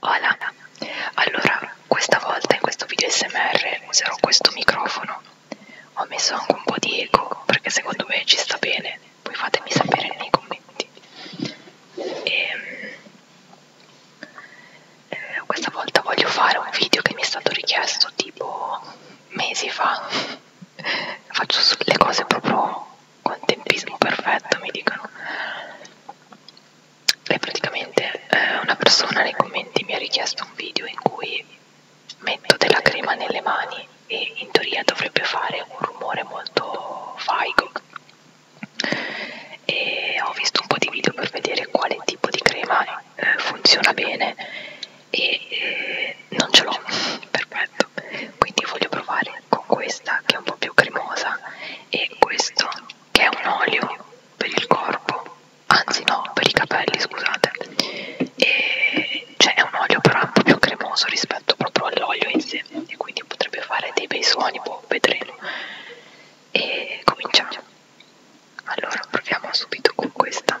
Hola, allora questa volta in questo video SMR userò questo microfono. Ho messo anche un po' di eco perché secondo me ci sta bene, poi fatemi sapere nei commenti. E, ehm, eh, questa volta voglio fare un video che mi è stato richiesto tipo mesi fa. Faccio le cose proprio con tempismo perfetto mi dicono e praticamente eh, una persona nei commenti mi ha richiesto un video in cui metto della crema nelle mani e in teoria dovrebbe fare un rumore molto faico e ho visto un po' di video per vedere quale tipo di crema eh, funziona bene e eh, non ce l'ho perfetto quindi voglio provare con questa che è un po' più cremosa e questo che è un olio per il corpo anzi no per i capelli scusate e cioè è un olio però un po' più cremoso rispetto proprio all'olio in sé e quindi potrebbe fare dei bei suoni boh vedremo e cominciamo allora proviamo subito con questa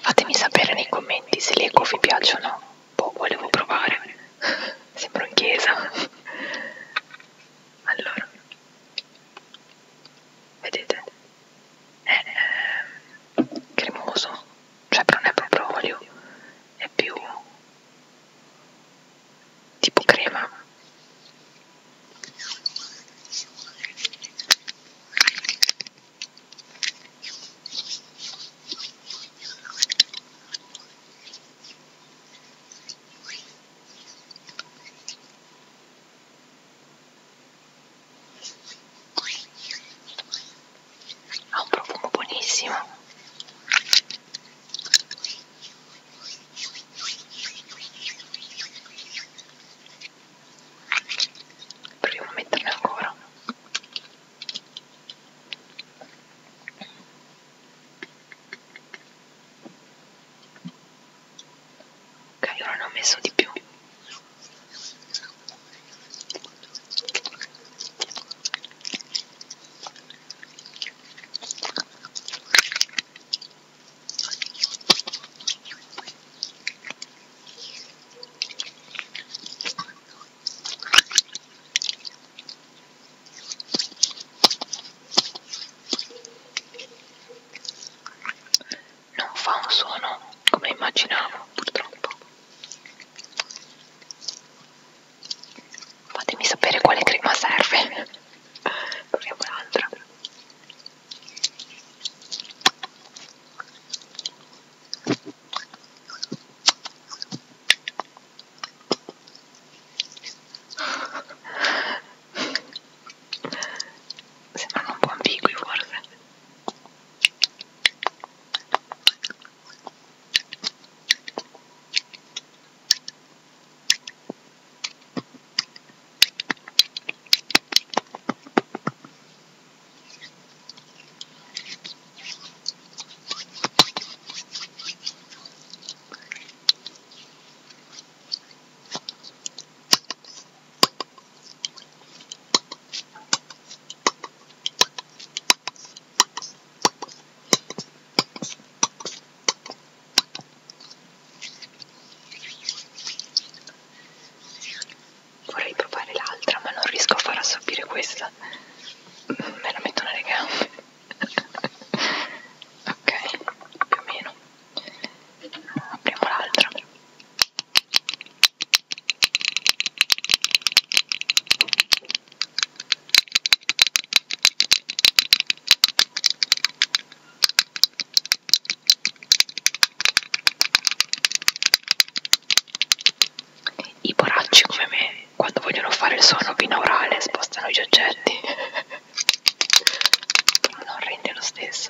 Fatemi sapere nei commenti se le eco vi piacciono. Boh, volevo provare. Sembro in chiesa. Allora vedete è ehm, cremoso cioè non è proprio olio è più tipo crema ha un profumo buonissimo proviamo a metterne ancora ok ora ne ho messo di più non fa un suono come immaginavo purtroppo fatemi sapere quale crema serve proviamo un'altra sembrano un po' ambigui forse Vorrei provare l'altra, ma non riesco a far assorbire questa. Mm, me la metto nelle gambe. ok, più o meno apriamo l'altra i poracci come me quando vogliono fare il suono binaurale spostano gli oggetti no rinde lo stesso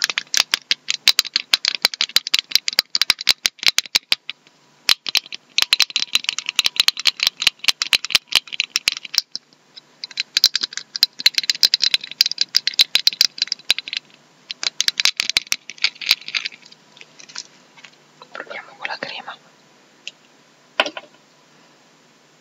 con la crema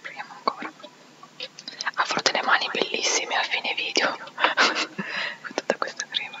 Proviamo ancora. Avrò delle mani bellissime a fine video con tutta questa crema.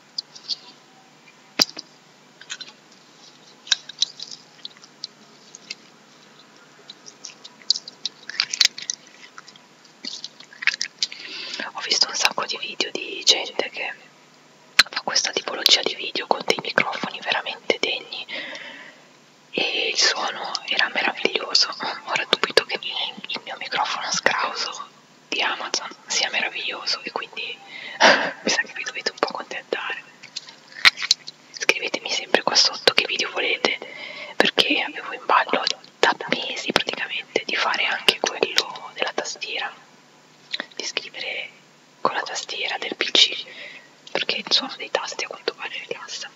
Ho visto un sacco di video di gente che fa questa tipologia di video con dei microfoni veramente degni e il suono era meraviglioso. Ora dubito che il mio microfono scrauso di Amazon sia meraviglioso e quindi mi sa che vi dovete un po' accontentare. Scrivetemi sempre qua sotto che video volete perché avevo in ballo da mesi praticamente di fare anche quello della tastiera, di scrivere con la tastiera del PC perché il suono dei tasti a quanto pare rilassa.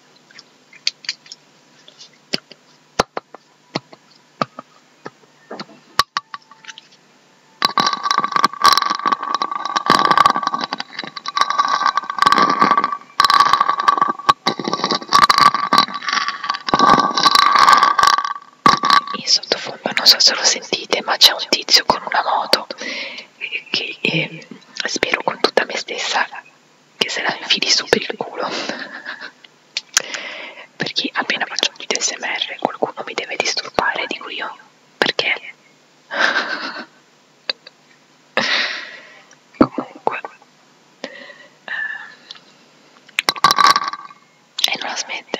In sottofondo non so se lo sentite, ma c'è un tizio con una moto che eh, spero con tutta me stessa che se la infili su per il culo perché appena faccio un video smr qualcuno mi deve disturbare, dico io, perché? Comunque, eh, e non la smette,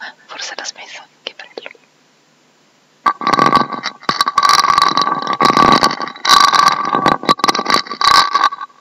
eh, forse l'ha smessa, che bello.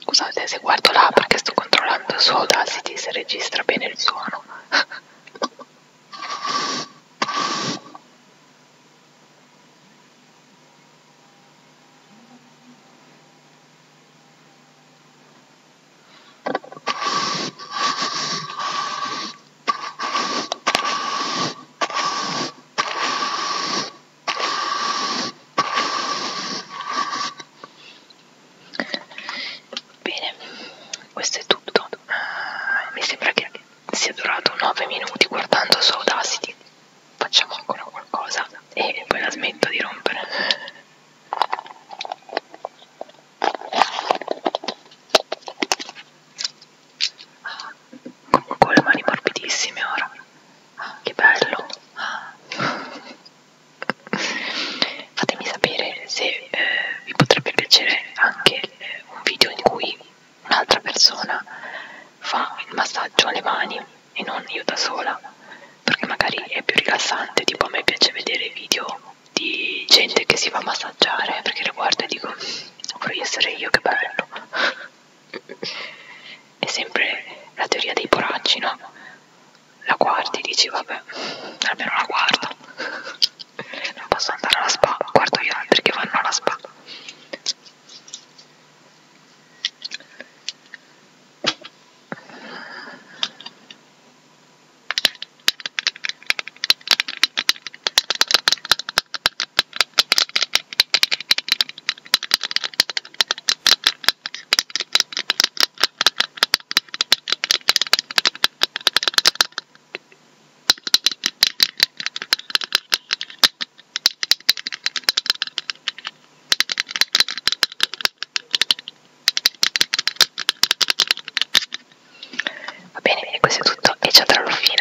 Scusate se guardo là perché sto controllando su Audacity se registra bene il suono. Bene, questo è tutto. Uh, mi sembra che sia durato 9 minuti guardando su Audacity. Facciamo ancora qualcosa e poi la smetto di rompere con le mani morbidissime ora che bello fatemi sapere se eh, vi potrebbe piacere anche eh, un video in cui un'altra persona fa il massaggio alle mani e non io da sola perché magari è più rilassante tipo a me piace vedere video di gente che si fa massaggiare perché le guardo e dico mm, vorrei essere io che bello è sempre la teoria dei poracci, no? La guardi, dici vabbè, almeno la guardo. Non posso andare alla spa, guardo gli altri che vanno alla spa. Va bene, questo è tutto e ci andrò alla fine.